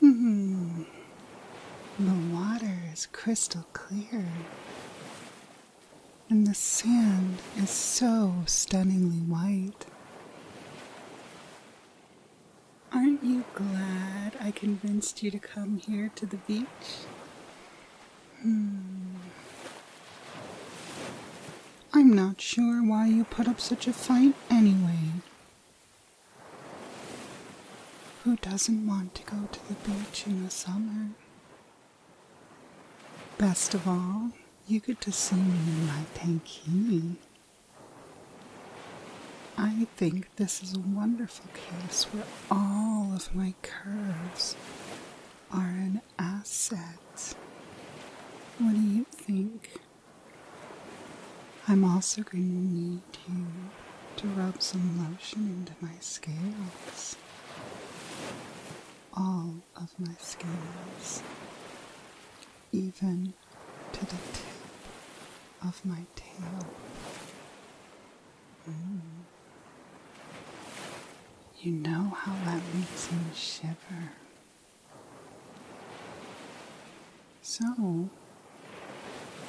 Hmm. The water is crystal clear. And the sand is so stunningly white. Aren't you glad I convinced you to come here to the beach? Hmm. I'm not sure why you put up such a fight anyway. Who doesn't want to go to the beach in the summer? Best of all, you get to see me in my tankini. I think this is a wonderful case where all of my curves are an asset. What do you think? I'm also going to need you to rub some lotion into my scales. All of my scales, even to the tip of my tail. Mm. You know how that makes me shiver. So,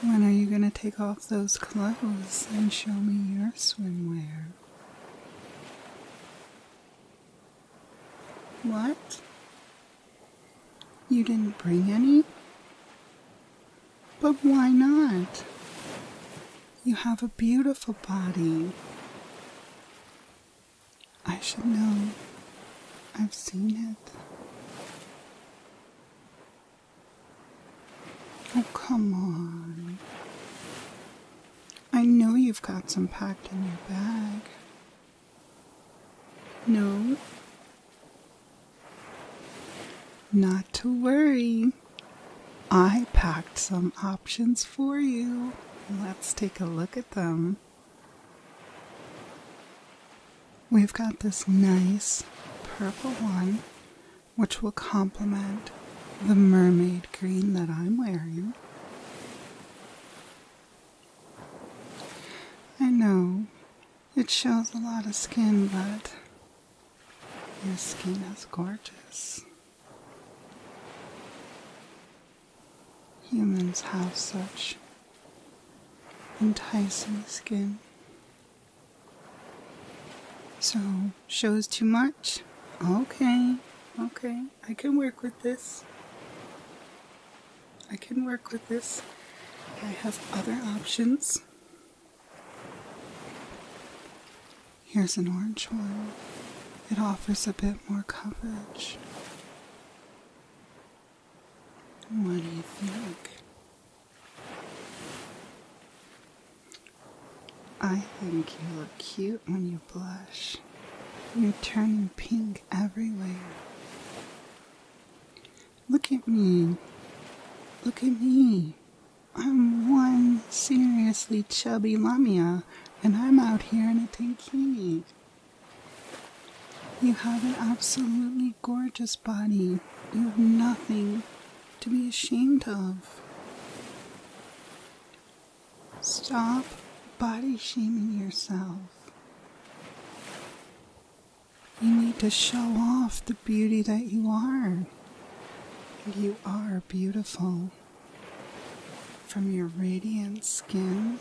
when are you going to take off those clothes and show me your swimwear? What? You didn't bring any? But why not? You have a beautiful body. I should know. I've seen it. Oh, come on. I know you've got some packed in your bag. No, not to worry, I packed some options for you. Let's take a look at them. We've got this nice purple one, which will complement the mermaid green that I'm wearing. I know it shows a lot of skin, but your skin is gorgeous. Humans have such enticing skin. So, shows too much? Okay, okay, I can work with this. I can work with this. I have other options. Here's an orange one. It offers a bit more coverage. What do you think? I think you look cute when you blush. You're turning pink everywhere. Look at me. Look at me. I'm one seriously chubby lamia, and I'm out here in a tankini. You have an absolutely gorgeous body. You have nothing to be ashamed of. Stop body shaming yourself. You need to show off the beauty that you are. You are beautiful. From your radiant skin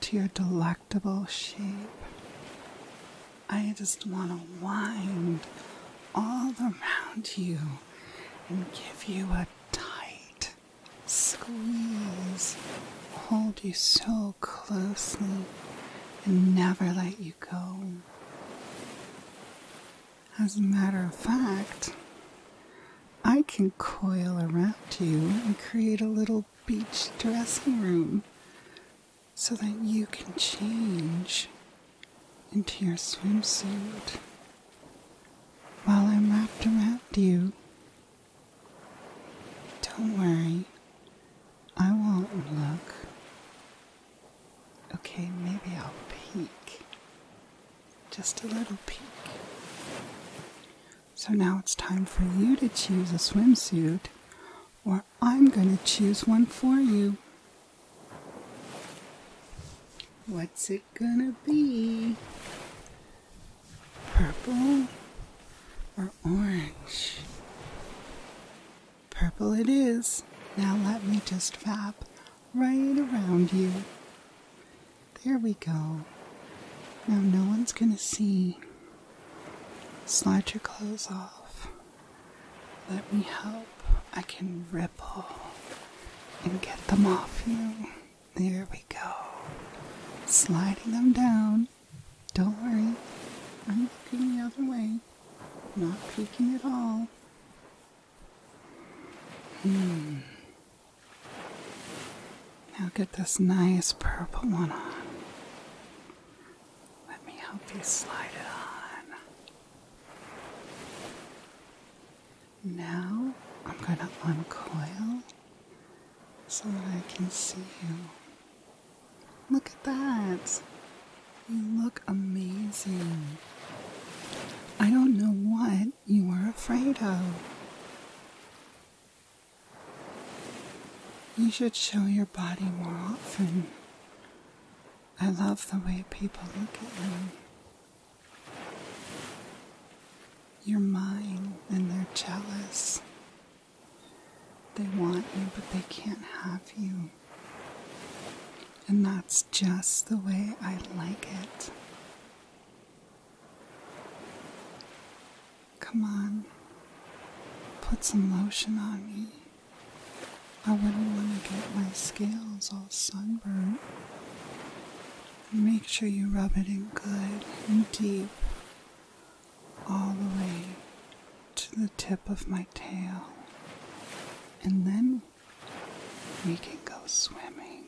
to your delectable shape. I just want to wind all around you and give you a tight squeeze, hold you so closely and never let you go. As a matter of fact, I can coil around you and create a little beach dressing room so that you can change into your swimsuit while I'm wrapped around you. Don't worry, I won't look. Okay, maybe I'll peek. Just a little peek. So now it's time for you to choose a swimsuit, or I'm going to choose one for you. What's it gonna be? Purple orange. Purple it is. Now let me just fab right around you. There we go. Now no one's gonna see. Slide your clothes off. Let me help. I can ripple and get them off you. There we go. Sliding them down. Don't worry, I'm looking the other way, not peeking at all. Hmm. Now get this nice purple one on. Let me help you slide it on. Now I'm going to uncoil so that I can see you. Look at that! You look amazing. I don't know what you are afraid of. You should show your body more often. I love the way people look at you. You're mine and they're jealous. They want you, but they can't have you. And that's just the way I like it. Come on, put some lotion on me. I wouldn't want to get my scales all sunburnt. Make sure you rub it in good and deep all the way to the tip of my tail, and then we can go swimming.